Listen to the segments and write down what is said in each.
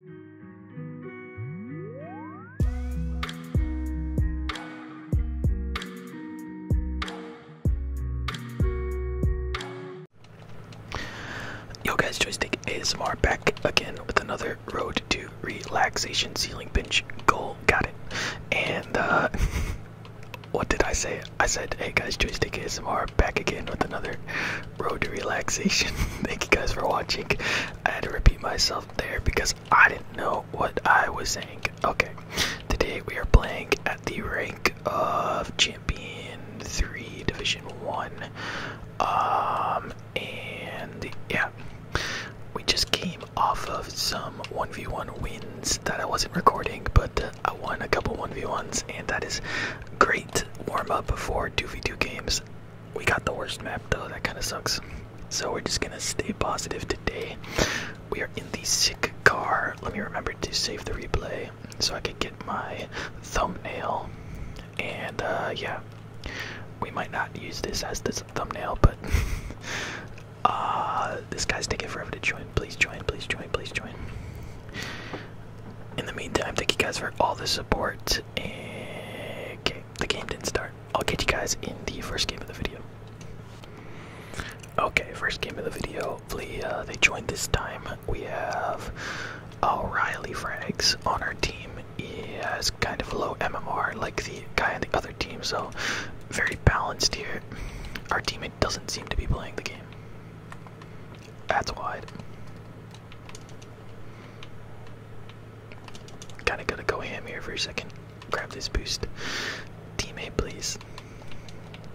Yo guys, Joystick ASMR back again with another Road to Relaxation Ceiling Bench Goal. Got it. And, uh, what did I say? I said, hey guys, Joystick ASMR back again with another road to relaxation. Thank you guys for watching. I had to repeat myself there because I didn't know what I was saying. Okay, today we are playing at the rank of champion three, division one. Um, and yeah, we just came off of some 1v1 wins that I wasn't recording, but I won a couple 1v1s, and that is great warm up for 2v2 games we got the worst map though, that kind of sucks. So we're just gonna stay positive today. We are in the sick car. Let me remember to save the replay so I could get my thumbnail. And uh, yeah, we might not use this as this thumbnail, but uh, this guy's taking forever to join. Please join, please join, please join. In the meantime, thank you guys for all the support. Okay, The game didn't start. I'll catch you guys in the first game of the video. Okay, first game of the video. Hopefully, uh, they joined this time. We have O'Reilly Frags on our team. He has kind of low MMR like the guy on the other team, so very balanced here. Our teammate doesn't seem to be playing the game. That's wide. Kinda gotta go ham here for a second. Grab this boost. Teammate, please.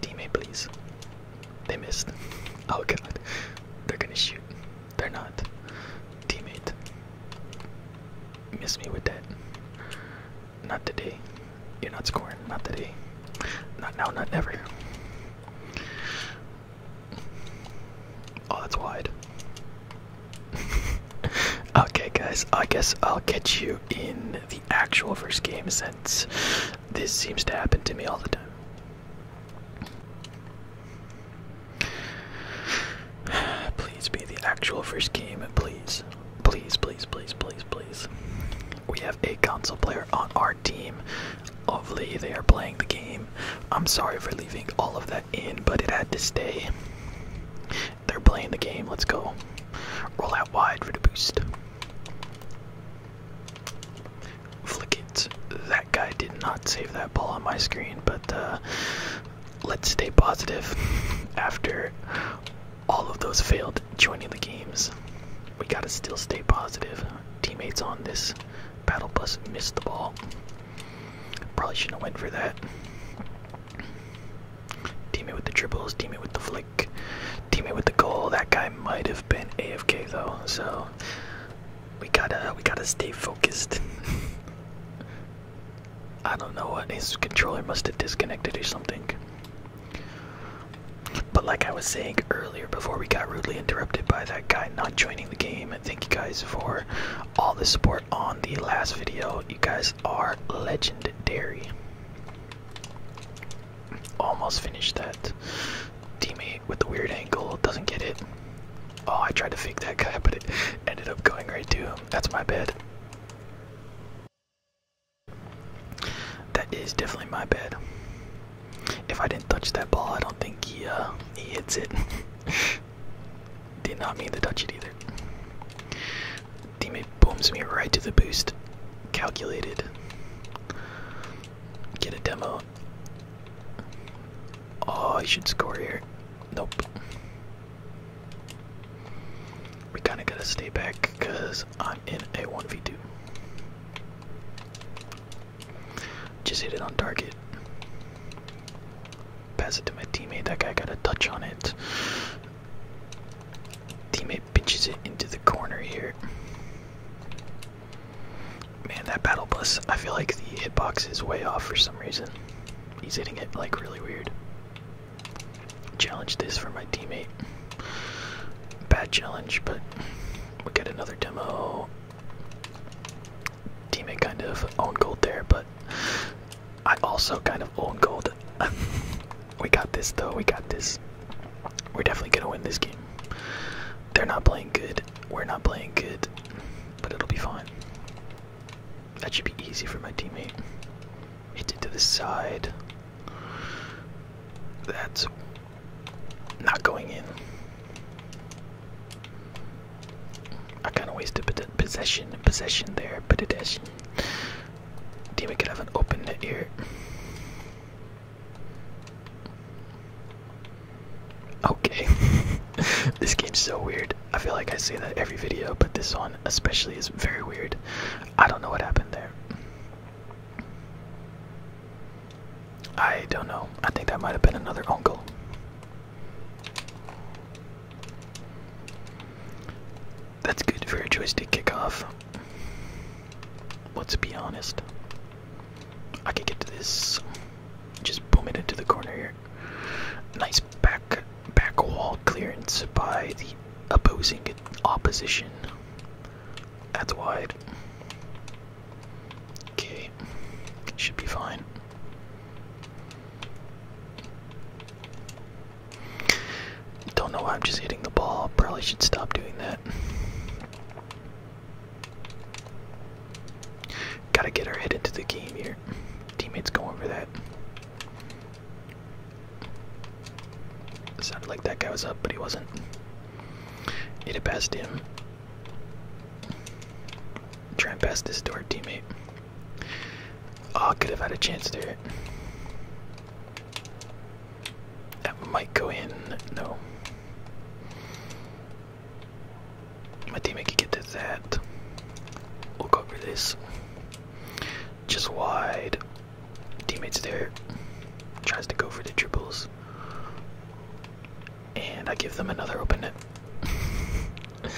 Teammate, please. They missed. Oh god. They're gonna shoot. They're not. Teammate. Miss me with that. Not today. You're not scoring. Not today. Not now, not ever. Oh, that's wide. okay, guys, I guess I'll catch you in the actual first game since this seems to happen to me all the time. Please be the actual first game, please. Please, please, please, please, We have a console player on our team. Hopefully, they are playing the game. I'm sorry for leaving all of that in, but it had to stay. They're playing the game. Let's go. Roll out wide for the boost. Flick it. That guy did not save that ball on my screen, but uh, let's stay positive. After all of those failed joining the games, we gotta still stay positive. Teammates on this battle bus missed the ball. Probably shouldn't have went for that. Teammate with the dribbles, teammate with the flick, teammate with the goal. That guy might have been AFK though, so we gotta we gotta stay focused. I don't know what his controller must have disconnected or something. But like I was saying earlier before we got rudely interrupted by that guy not joining the game, Thank you guys for all the support on the last video. You guys are legendary. Almost finished that. Teammate with the weird angle doesn't get it. Oh, I tried to fake that guy, but it ended up going right to him. That's my bed. That is definitely my bed. If I didn't touch that ball, I don't think he uh, he hits it. Did not mean to touch it either. Teammate booms me right to the boost. Calculated. Get a demo. Oh, I should score here. Nope. We kinda gotta stay back because I'm in a 1v2. Just hit it on target. Pass it to my teammate. That guy got a touch on it. Teammate pitches it into the corner here. Man, that battle bus, I feel like the hitbox is way off for some reason. He's hitting it like really weird. Challenge this for my teammate. Bad challenge, but we'll get another demo teammate kind of own gold there, but I also kind of own gold. we got this though, we got this. We're definitely gonna win this game. They're not playing good, we're not playing good, but it'll be fine. That should be easy for my teammate. Hit it to the side. That's not going in. I kind of wasted possession, possession there, but it is. Demon could have an open ear. Okay, this game's so weird. I feel like I say that every video, but this one especially is very weird. I don't know what happened there. I don't know. I think that might have been another uncle. That's good for a joystick off. Let's be honest. I can get to this. Just boom it into the corner here. Nice back back wall clearance by the opposing opposition. That's wide. Okay. Should be fine. Don't know why I'm just hitting the ball. Probably should stop doing that. Gotta get our head into the game here. Teammates going for that. sounded like that guy was up, but he wasn't. It had passed him. Trying pass this door, teammate. Oh, could have had a chance there. That might go in. No. My teammate could get to that. We'll cover this. Just wide. Teammates there. Tries to go for the triples and I give them another open net.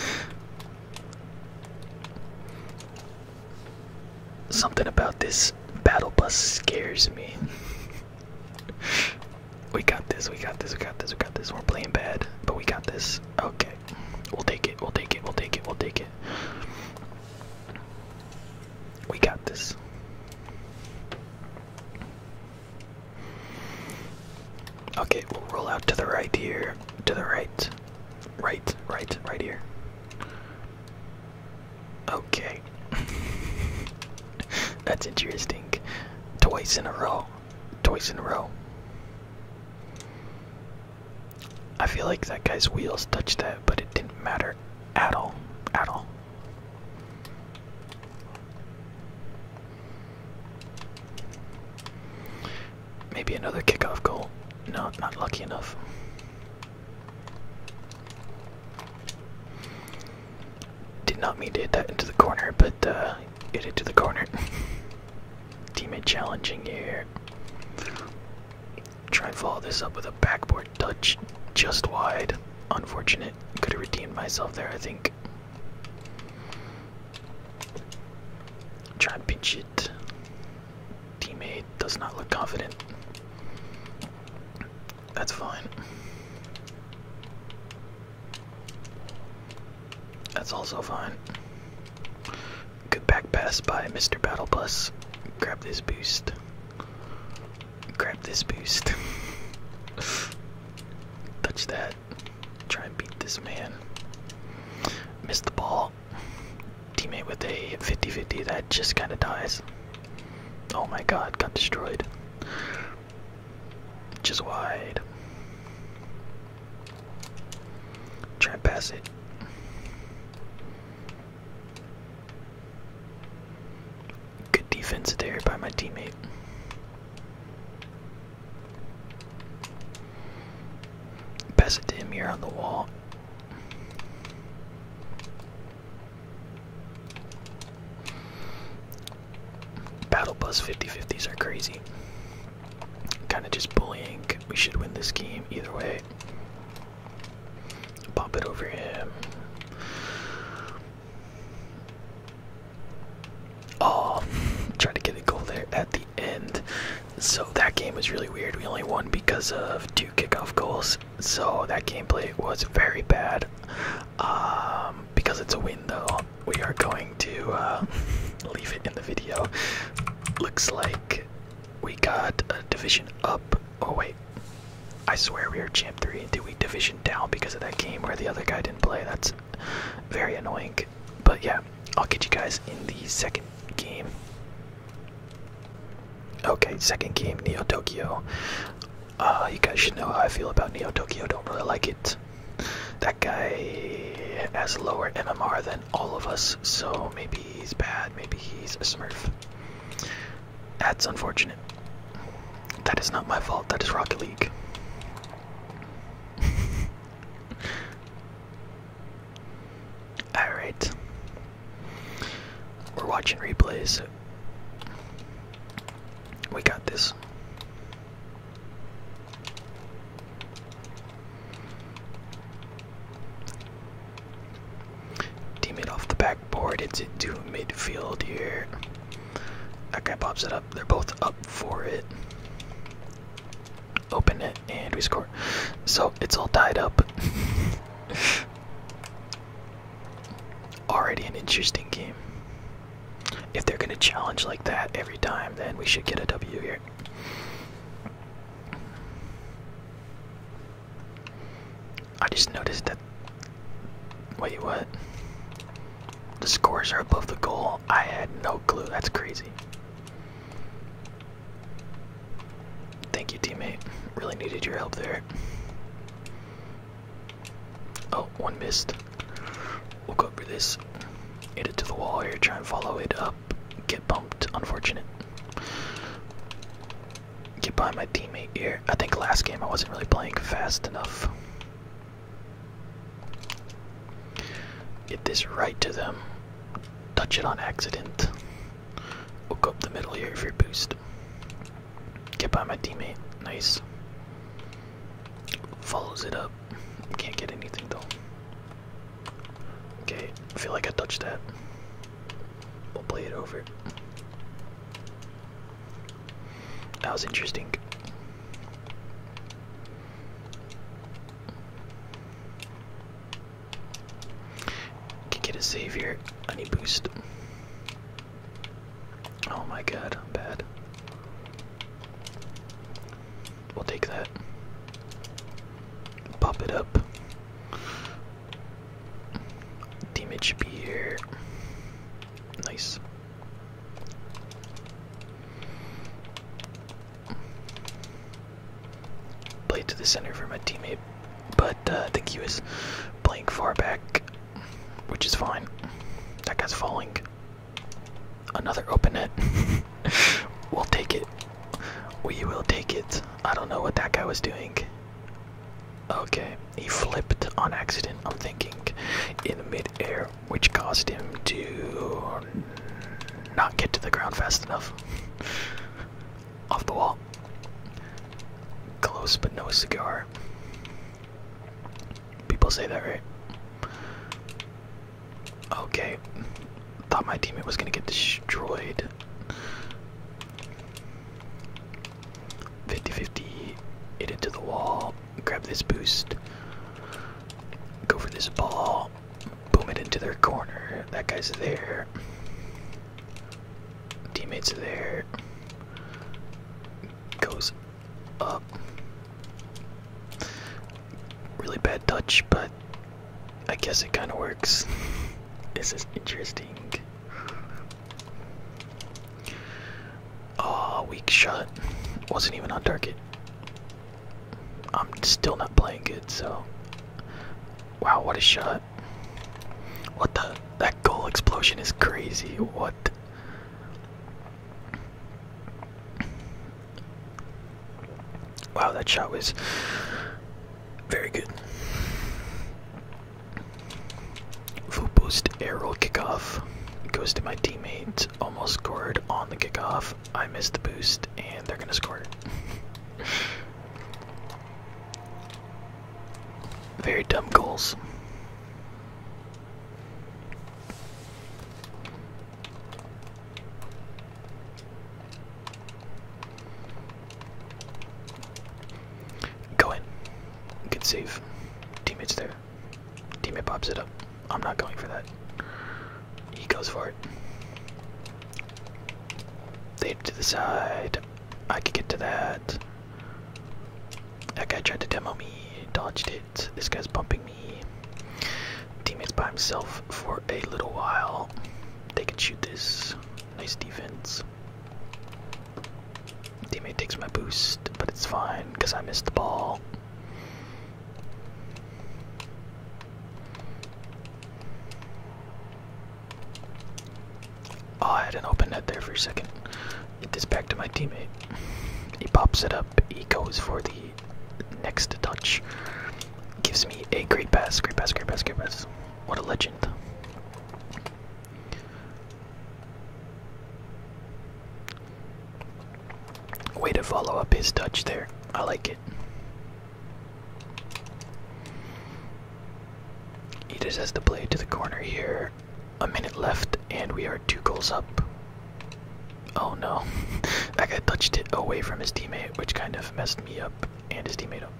Something about this battle bus scares me. we got this, we got this, we got this, we got this. We're playing bad, but we got this. Okay. We'll take it, we'll take it, we'll take it, we'll take it. We got this. Okay, we'll roll out to the right here. To the right. Right, right, right here. Okay. That's interesting. Twice in a row. Twice in a row. I feel like that guy's wheels touched that, but it didn't matter at all. At all. Maybe another kickoff goal. No, not lucky enough. Did not mean to hit that into the corner, but uh, hit into the corner. Teammate challenging here. Try and follow this up with a backboard touch just wide. Unfortunate. Could have redeemed myself there, I think. Try and pinch it. Teammate does not look confident. That's fine. That's also fine. Good back pass by Mr. Battle Bus. Grab this boost. Grab this boost. Touch that. Try and beat this man. Missed the ball. Teammate with a 50 50 that just kind of dies. Oh my god, got destroyed. Just wide. Try and pass it. Good defense there by my teammate. Pass it to him here on the wall. Battle Bus 50-50s are crazy. Kind of just bullying. We should win this game either way. Pop it over him. Oh, tried to get a goal there at the end. So that game was really weird. We only won because of two kickoff goals. So that gameplay was very bad. Um, because it's a win, though, we are going to uh, leave it in the video. Looks like we got a division up. Oh, wait. I swear we are champ 3. Did we division down because of that game where the other guy didn't play? That's very annoying. But yeah, I'll get you guys in the second game. Okay, second game, Neo Tokyo. Uh, you guys should know how I feel about Neo Tokyo. Don't really like it. That guy has lower MMR than all of us, so maybe he's bad. Maybe he's a Smurf. That's unfortunate. That is not my fault. That is Rocket League. Alright. We're watching replays. We got this. Teammate off the backboard into midfield here. That guy pops it up. They're both up for it. Open it and we score. So it's all tied up. Already an interesting game. If they're gonna challenge like that every time, then we should get a W here. I just noticed that. Wait, what? The scores are above the goal. I had no clue. That's crazy. Thank you, teammate. Really needed your help there. Oh, one missed. We'll go for this. Hit it to the wall here. Try and follow it up. Get bumped. Unfortunate. Get by my teammate here. I think last game I wasn't really playing fast enough. Get this right to them. Touch it on accident. Hook up the middle here for your boost. Get by my teammate. Nice. Follows it up. Can't get anything though. Okay, feel like I touched that. We'll play it over. That was interesting. Can get a save here. I need boost. Oh my god, I'm bad. We'll take that. Pop it up. Damage here. Nice. Played to the center for my teammate, but I think he was playing far back, which is fine. That guy's falling. Another open net. we'll take it. We will take it. I don't know what that guy was doing. Okay, he flipped on accident, I'm thinking, in midair which caused him to not get to the ground fast enough. Off the wall. Close but no cigar. People say that, right? Okay. Thought my teammate was gonna get destroyed. 50 50. into the wall. Grab this boost. Go for this ball. Boom it into their corner. That guy's there. Teammates are there. Goes up. Really bad touch, but I guess it kind of works. this is interesting. Oh, weak shot. Wasn't even on target. I'm still not playing good, so. Wow, what a shot. What the? That goal explosion is crazy. What? Wow, that shot was very good. Full boost aerial kickoff goes to my teammate. Almost scored on the kickoff. I missed the boost, and they're gonna score. Very dumb goals. Go in. Good save. Teammates there. Teammate pops it up. I'm not going for that. He goes for it. They to the side. I could get to that. That guy tried to demo me, dodged it. This guy's bumping me. Teammates by himself for a little while. They can shoot this. Nice defense. Teammate takes my boost, but it's fine because I missed the ball. Oh, I had an open net there for a second. Get this back to my teammate. He pops it up. He goes for the next touch. Gives me a great pass, great pass, great pass, great pass. What a legend. Way to follow up his touch there. I like it. He just has the play to the corner here. A minute left, and we are two goals up. Oh no, that guy touched it away from his teammate, which kind of messed me up and his teammate up.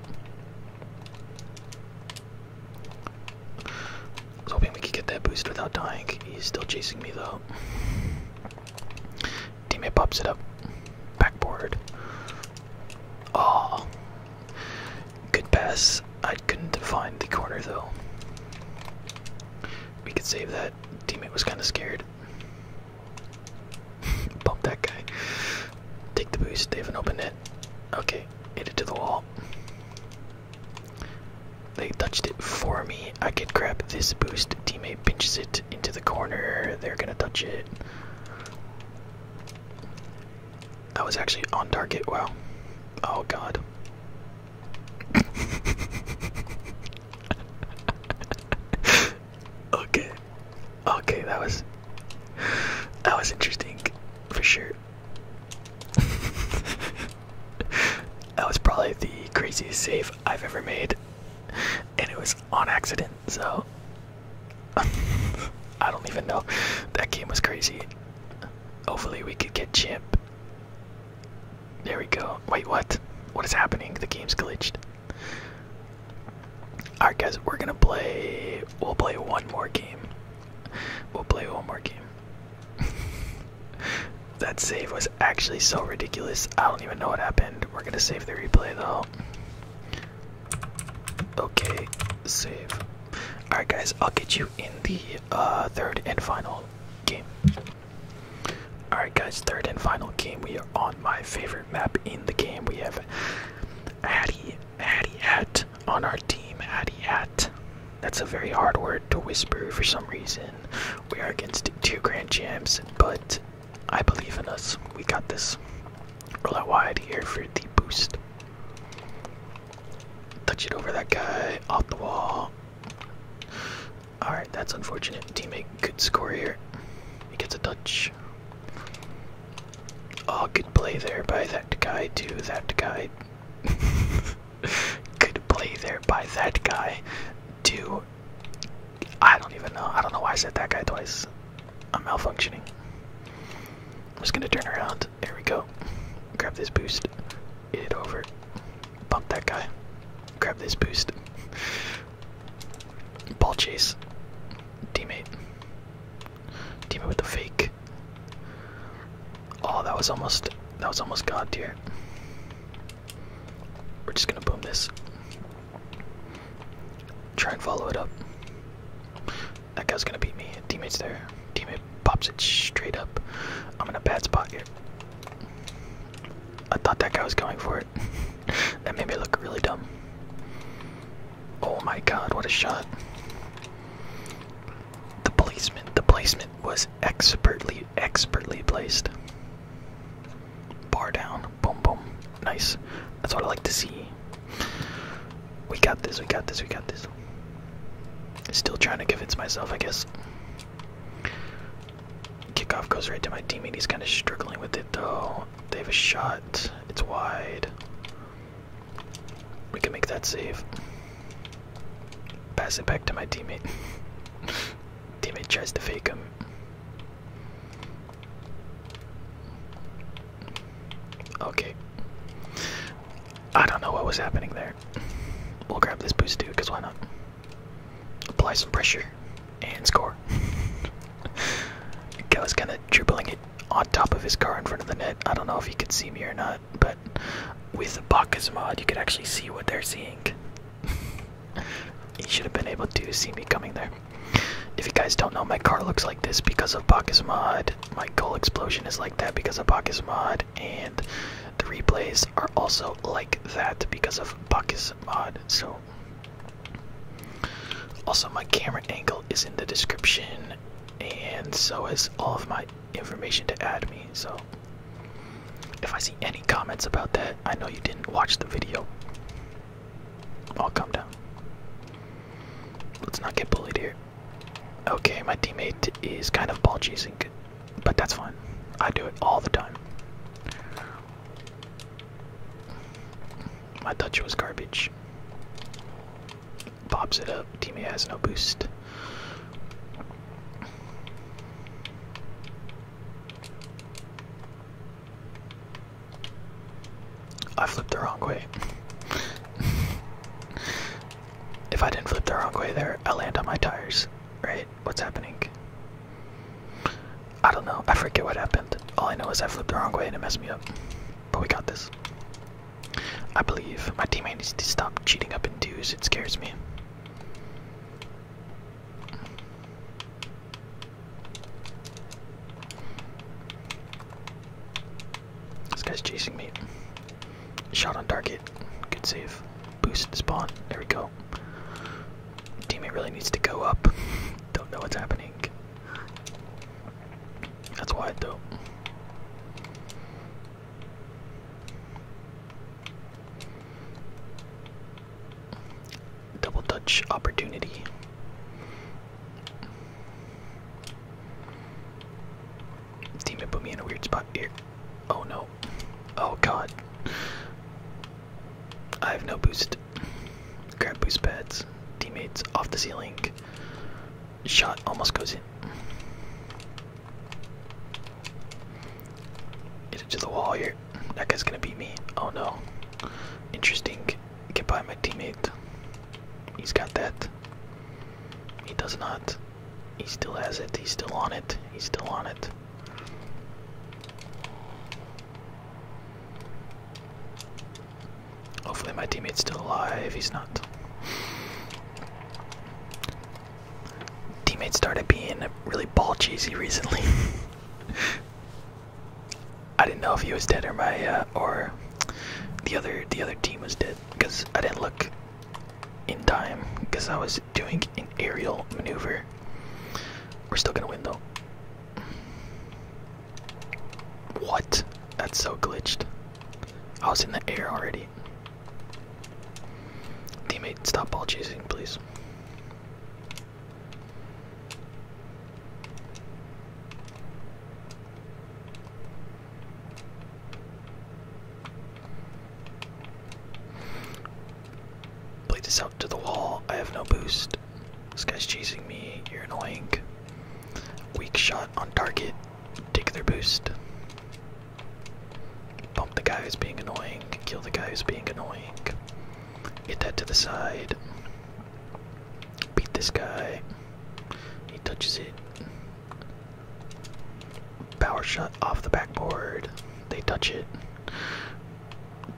hoping we could get that boost without dying. He's still chasing me though. Teammate pops it up. Backboard. Oh. Good pass. I couldn't find the corner though. We could save that. Teammate was kind of scared. Bump that guy. Take the boost. They have an open net. Okay. Hit it to the wall. They touched it for me. I could grab this boost. Teammate pinches into the corner. They're gonna touch it. I was actually on target. Wow. Oh god. okay. Okay, that was that was interesting for sure. that was probably the craziest save I've ever made and it was on accident. So I don't even know. That game was crazy. Hopefully we could get Chimp. There we go. Wait, what? What is happening? The game's glitched. Alright guys, we're gonna play we'll play one more game. We'll play one more game. that save was actually so ridiculous. I don't even know what happened. We're gonna save the replay though. Okay, save. Alright, guys, I'll get you in the uh, third and final game. Alright, guys, third and final game. We are on my favorite map in the game. We have Hattie, Hattie Hat on our team. Hattie Hat. That's a very hard word to whisper for some reason. We are against two grand champs, but I believe in us. We got this. Roll out wide here for the boost. Touch it over that guy. Off the wall. Alright, that's unfortunate. Teammate, good score here. He gets a touch. All oh, good play there by that guy, too. That guy. good play there by that guy to I don't even know. I don't know why I said that guy twice. I'm malfunctioning. I'm just gonna turn around. There we go. Grab this boost. Get it over. Bump that guy. Grab this boost. Ball chase. Teammate. Teammate with the fake. Oh, that was almost that was almost god tier. We're just gonna boom this. Try and follow it up. That guy's gonna beat me. Teammate's there. Teammate pops it straight up. I'm in a bad spot here. I thought that guy was going for it. that made me look really dumb. Oh my god, what a shot. The placement, the placement was expertly, expertly placed. Bar down. Boom, boom. Nice. That's what I like to see. We got this, we got this, we got this. Still trying to convince myself, I guess. Kickoff goes right to my teammate. He's kind of struggling with it, though. They have a shot. It's wide. We can make that save. Pass it back to my teammate. David tries to fake him. Okay. I don't know what was happening there. We'll grab this boost too, because why not? Apply some pressure and score. Kelly's kind of dribbling it on top of his car in front of the net. I don't know if you could see me or not, but with the Bacchus mod, you can actually see what they're seeing he should have been able to see me coming there. If you guys don't know, my car looks like this because of Bacchus Mod. My goal explosion is like that because of Bacchus Mod, and the replays are also like that because of Bacchus Mod. So, also my camera angle is in the description, and so is all of my information to add me. So, if I see any comments about that, I know you didn't watch the video. I'll oh, calm down. Let's not get bullied here. Okay, my teammate is kind of ball chasing, but that's fine. I do it all the time. My touch was garbage. Pops it up. Teammate has no boost. I flipped the wrong way. if I didn't flip the wrong way there, I land on my tires. Right? What's happening? I don't know. I forget what happened. All I know is I flipped the wrong way and it messed me up. But we got this. I believe my teammate needs to stop cheating up in twos. It scares me. This guy's chasing me. Shot on target. Good save. Boost spawn. There we go. Teammate really needs to go up. Don't know what's happening. That's wide though double touch opportunity. Demon put me in a weird spot here. Oh no. Oh god. I have no boost. Grab boost pads. Teammates off the ceiling. Shot almost goes in. Get it to the wall here. That guy's gonna beat me. Oh no. Interesting. Get by my teammate. He's got that. He does not. He still has it. He's still on it. He's still on it. Hopefully my teammate's still alive. He's not. Teammate started being really ball cheesy recently. I didn't know if he was dead or my uh, or the other the other team was dead because I didn't look in time because I was doing an aerial maneuver. We're still gonna win though. What? That's so glitched. I was in the air already. Teammate, stop ball chasing, please. Play this out to the wall. I have no boost. This guy's chasing me. You're annoying. Weak shot on target. Take their boost. Bump the guy who's being annoying. Kill the guy who's being annoying. Hit that to the side. Beat this guy. He touches it. Power shot off the backboard. They touch it.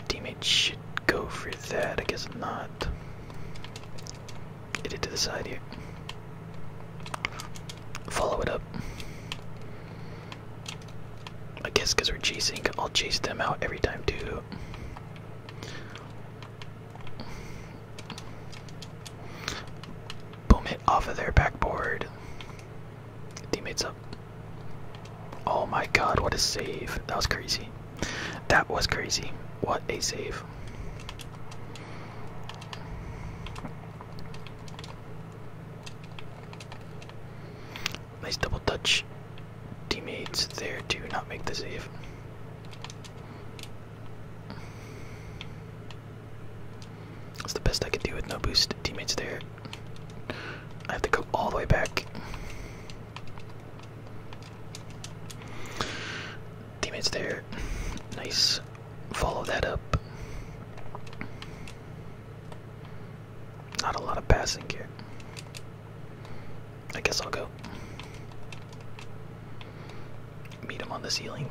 Teammate should go for that. I guess not. Hit it to the side here. Follow it up. I guess because we're chasing, I'll chase them out every time too. Boom it off of their backboard. Teammates up. Oh my god, what a save. That was crazy. That was crazy. What a save. Nice double touch. Teammates there do not make the save. That's the best I can do with no boost. Teammates there. I have to go all the way back. Teammates there. Nice. Follow that up. Not a lot of passing here. I guess I'll go. Meet him on the ceiling.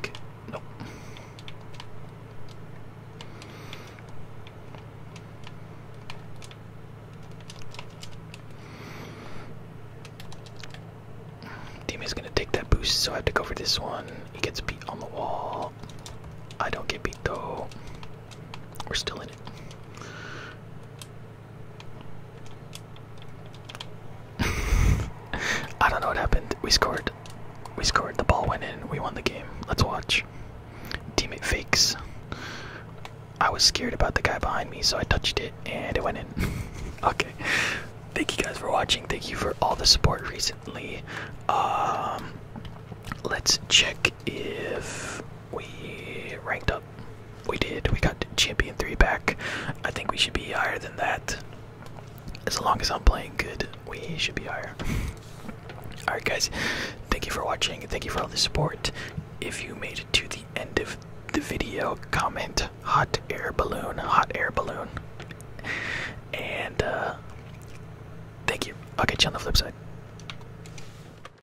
Nope. Teammate's gonna take that boost, so I have to go for this one. He gets beat on the wall. I don't get beat though. We're still in it. I don't know what happened. We scored. We scored. The ball went in. We won the game. Let's watch. Teammate fakes. I was scared about the guy behind me, so I touched it and it went in. okay. Thank you guys for watching. Thank you for all the support recently. Um, let's check if we ranked up. We did. We got champion three back. I think we should be higher than that. As long as I'm playing good, we should be higher. Alright, guys, thank you for watching. Thank you for all the support. If you made it to the end of the video, comment hot air balloon, hot air balloon. And uh, thank you. I'll catch you on the flip side.